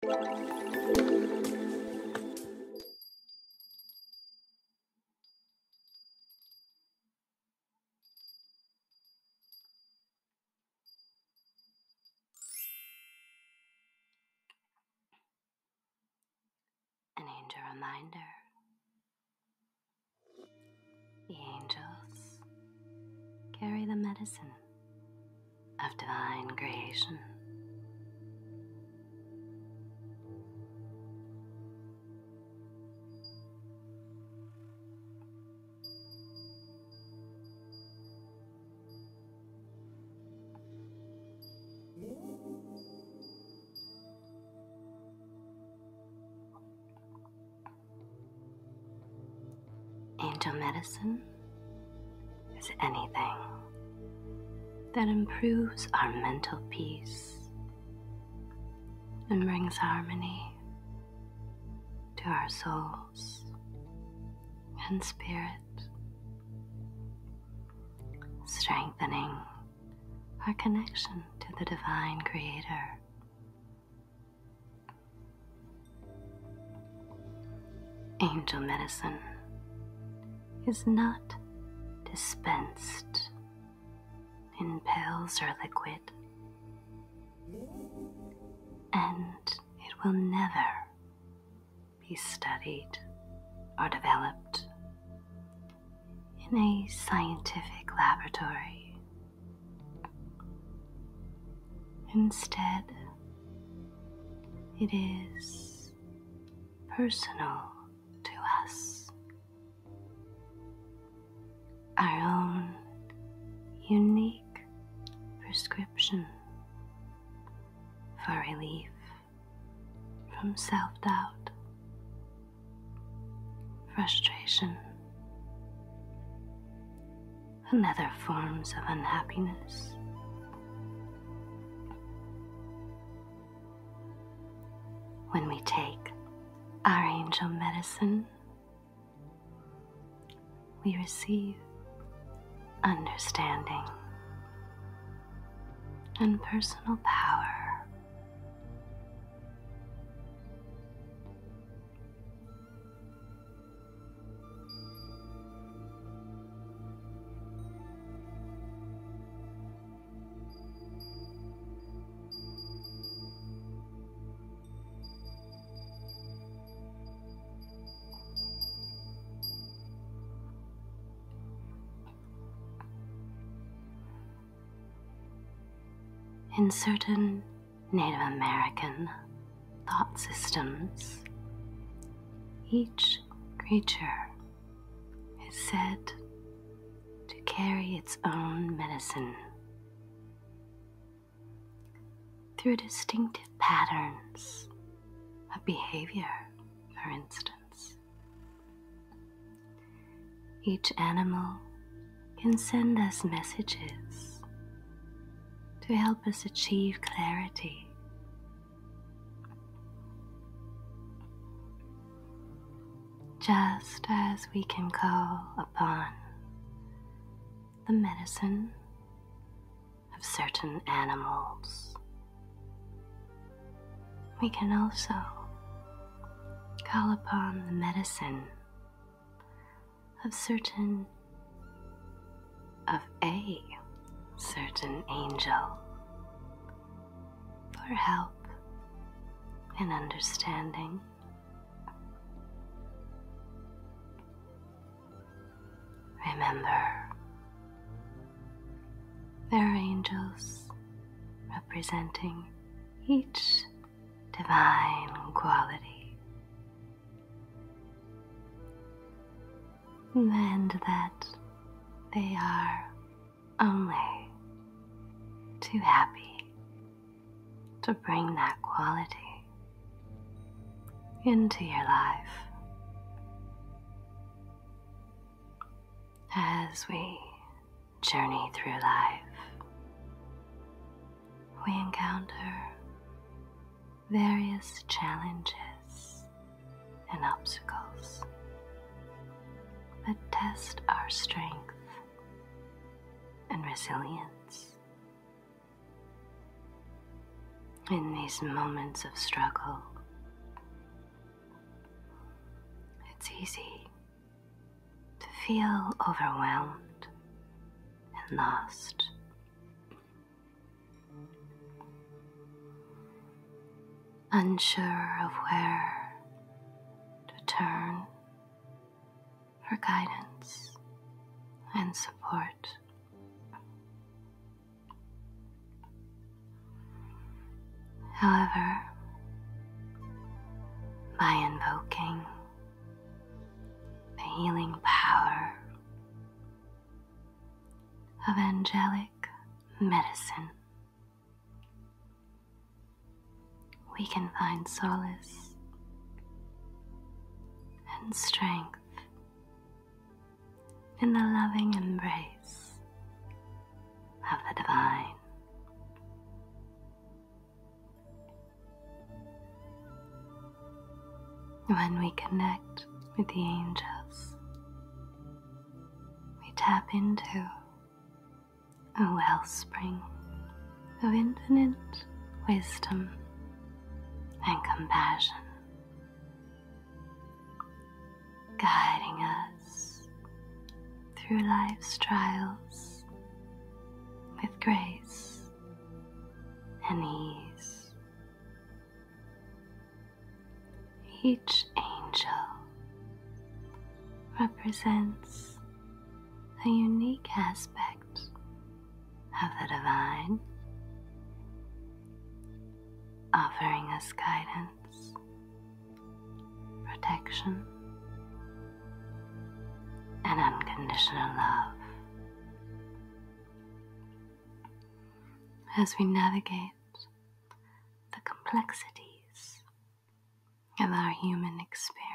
An angel reminder. The angels carry the medicine of divine creation. Angel medicine is anything that improves our mental peace and brings harmony to our souls and spirit, strengthening our connection to the divine creator Angel medicine is not dispensed in pills or liquid, and it will never be studied or developed in a scientific laboratory Instead, it is personal to us, our own unique prescription for relief from self doubt, frustration, and other forms of unhappiness. When we take our angel medicine, we receive understanding and personal power. In certain Native American thought systems, each creature is said to carry its own medicine. Through distinctive patterns of behavior, for instance, each animal can send us messages to help us achieve clarity. Just as we can call upon the medicine of certain animals, we can also call upon the medicine of certain of a certain angel for help and understanding. Remember, there are angels representing each divine quality. And that they are only too happy to bring that quality into your life. As we journey through life, we encounter various challenges and obstacles that test our strength and resilience. In these moments of struggle, it's easy to feel overwhelmed and lost. Unsure of where to turn for guidance and support. However, by invoking the healing power of angelic medicine, we can find solace and strength in the loving embrace of the divine. When we connect with the angels, we tap into a wellspring of infinite wisdom and compassion guiding us through life's trials with grace and ease. Each angel represents a unique aspect of the divine, offering us guidance protection, and unconditional love. As we navigate the complexities of our human experience,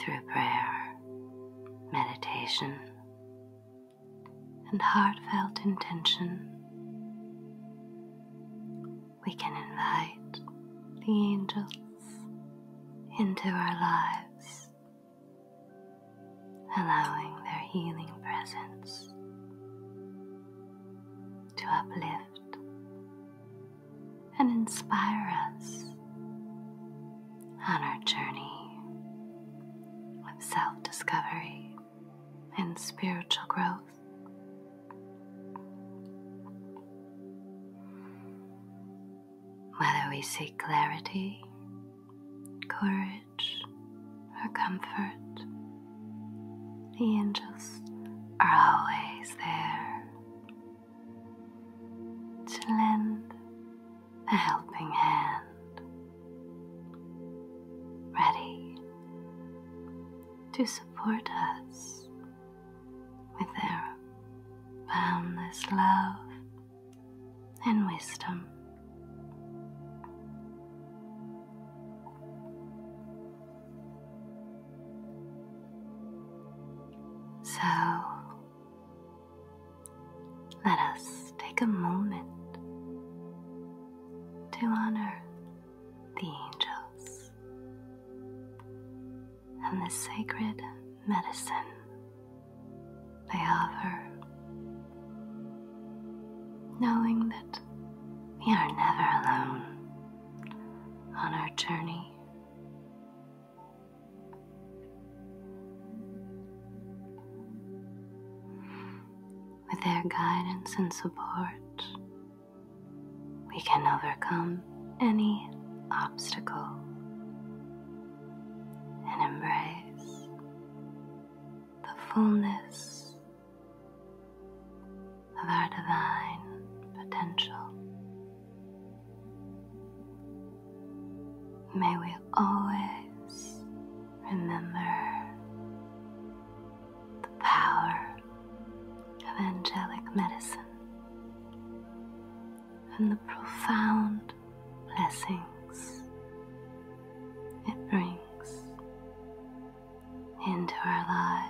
Through prayer, meditation, and heartfelt intention, we can invite the angels into our lives allowing their healing presence to uplift and inspire us on our journey of self discovery and spiritual growth. Whether we seek clarity, courage, refuge, comfort. The angels are always there to lend a helping hand, ready to support us with their boundless love and wisdom. So let us take a moment to honor the angels and the sacred medicine I offer, knowing that we are never alone on our journey. With their guidance and support, we can overcome any obstacle and embrace the fullness of our divine potential. May we always remember the power of angelic medicine and the profound blessings it brings into our lives.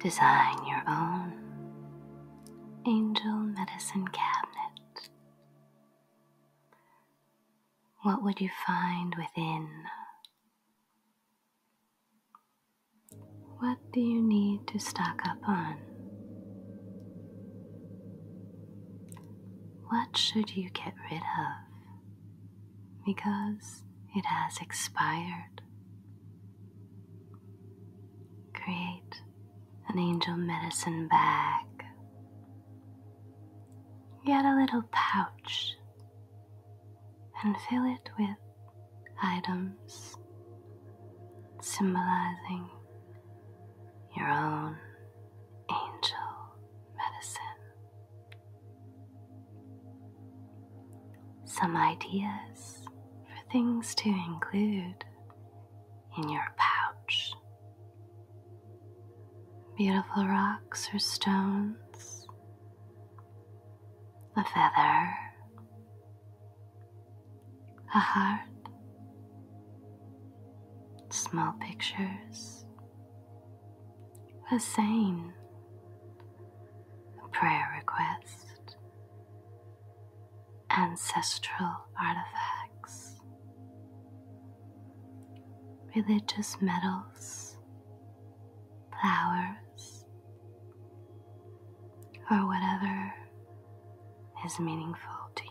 Design your own angel medicine cabinet. What would you find within? What do you need to stock up on? What should you get rid of? because it has expired. Create an angel medicine bag. Get a little pouch and fill it with items symbolizing your own angel medicine some ideas for things to include in your pouch. Beautiful rocks or stones, a feather, a heart, small pictures, a saying, a prayer request, ancestral artifacts, religious medals, flowers, or whatever is meaningful to you.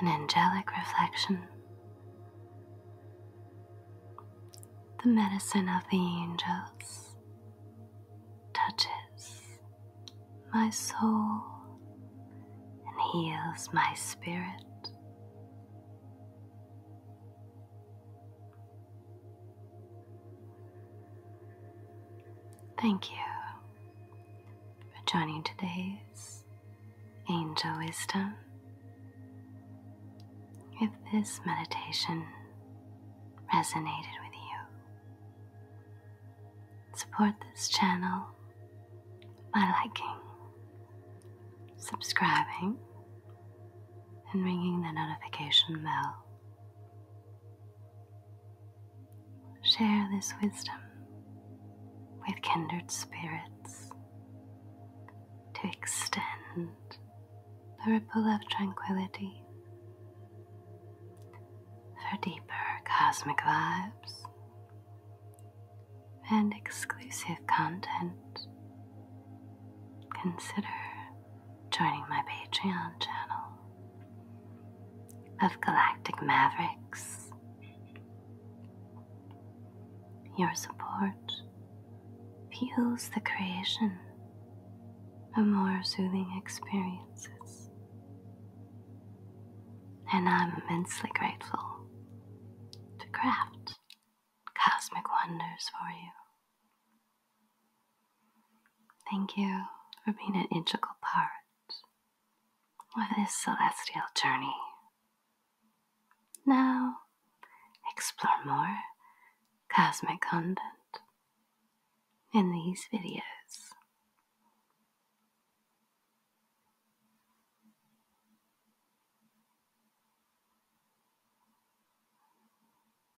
an angelic reflection, the medicine of the angels touches my soul and heals my spirit. Thank you for joining today's Angel Wisdom. If this meditation resonated with you, support this channel by liking, subscribing, and ringing the notification bell. Share this wisdom with kindred spirits to extend the ripple of tranquility for deeper cosmic vibes and exclusive content. Consider joining my Patreon channel of Galactic Mavericks. Your support fuels the creation of more soothing experiences, and I'm immensely grateful to craft cosmic wonders for you. Thank you for being an integral part of this celestial journey. Now, explore more cosmic content in these videos.